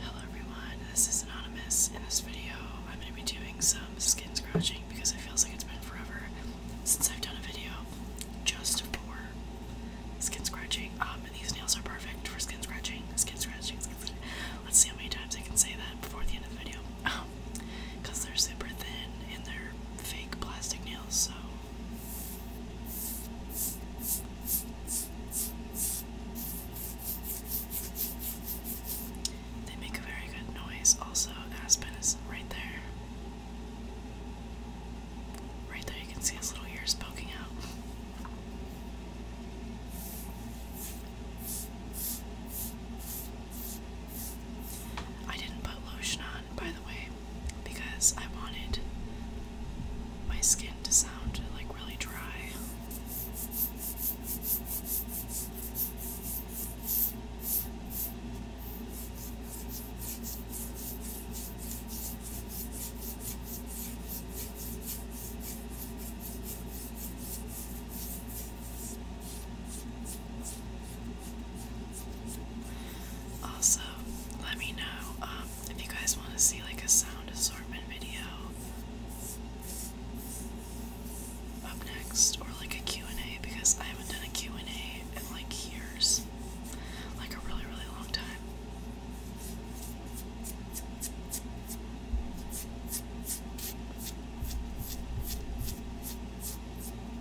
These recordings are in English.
Hello everyone, this is Anonymous. In this video, I'm going to be doing some skin scratching because it feels like it's been forever since I've done a video just for skin scratching. Um, and these nails are perfect for skin scratching. Skin scratching, Let's see how many times I can say that before the end of the video. Because they're super thin and they're fake plastic nails, so they make a very good noise. Also, Aspen is right there. Right there, you can see his little ears poking out. I didn't put lotion on, by the way because I wanted my skin to sound like really dry. Also, let me know um, if you guys want to see like a sound assortment video up next, or like a Q&A because I haven't done a Q&A in like years, like a really really long time.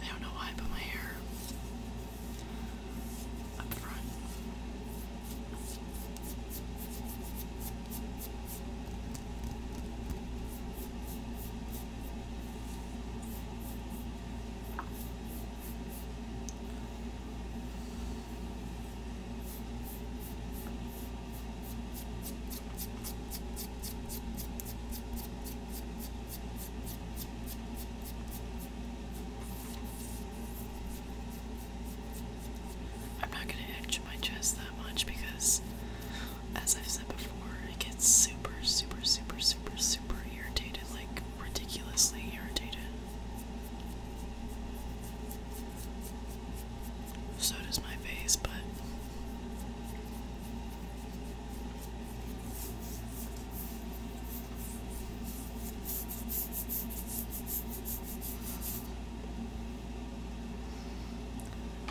I don't know why I put my hair up front. I I'm not going to itch my chest that much because, as I've said before, it gets super, super, super, super, super irritated like ridiculously irritated. So does my face, but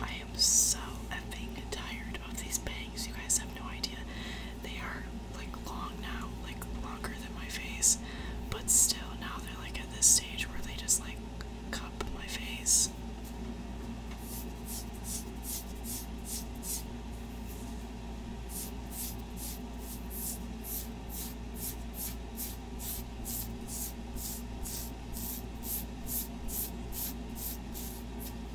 I am so effing tired of these bangs. You guys have no idea. They are like long now, like longer than my face, but still now they're like at this stage where they just like cup my face.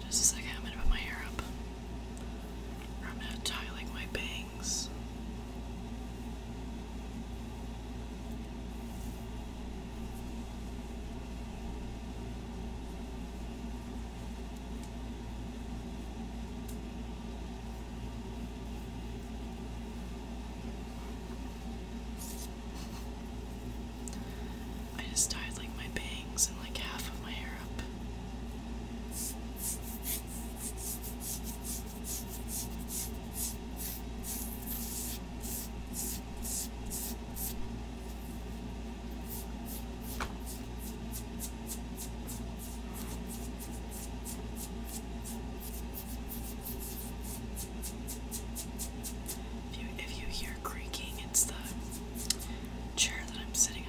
Just a second, I'm gonna put my hair up. I'm gonna tie like my bangs. I just dyed like my bangs and like half of my hair up. If you, hear creaking, it's the chair that I'm sitting on.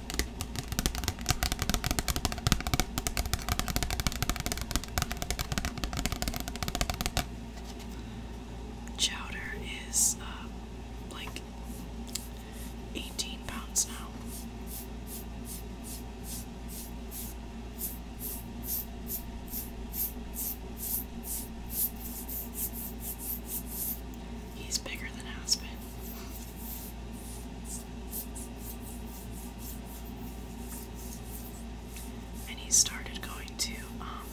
Chowder is uh, like 18 pounds now. He's bigger than Aspen. And he started going to um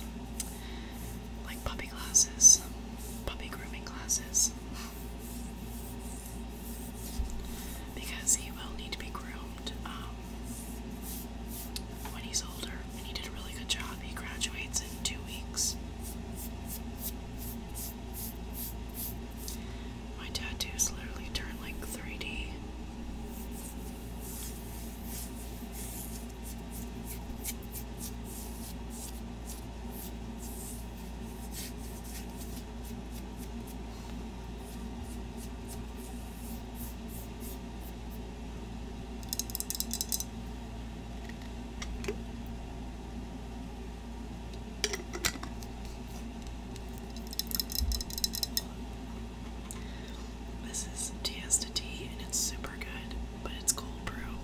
like puppy classes, puppy grooming classes. Because he will need to be groomed um, when he's older, and he did a really good job. He graduates in two weeks. My tattoos literally turn like 3D. This is Tiesta tea, and it's super good, but it's cold brew.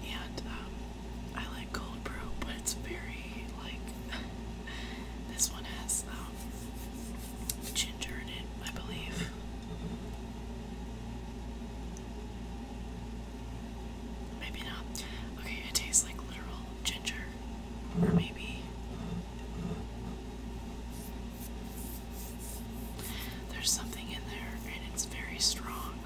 And um, I like cold brew, but it's very like this one has um, ginger in it, I believe. Maybe not. Okay, it tastes like literal ginger. Or maybe. There's something in there and it's very strong.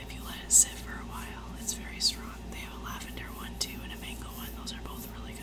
If you let it sit for a while, it's very strong. They have a lavender one too and a mango one. Those are both really good.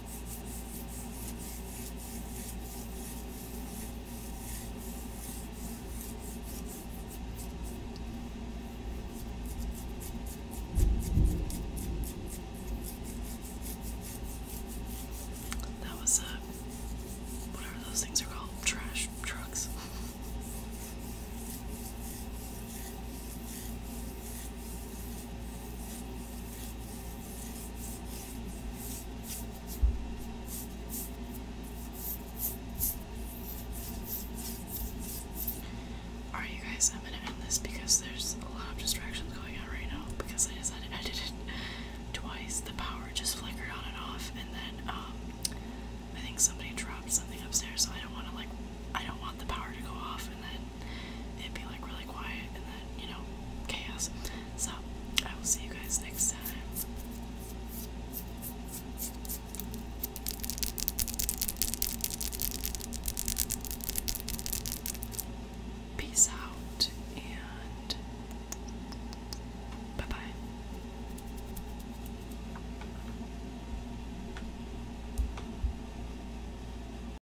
That was uh whatever those things are called, trash trucks. Alright, you guys, I'm gonna end this because there's a lot of distractions going on right now because I decided I twice. The power just flickered on and off, and then, um, I think somebody dropped something upstairs, so I don't want to, like, I don't want the power to go off and then it'd be like really quiet and then, you know, chaos. So, I will see you guys next time. Peace out and bye bye.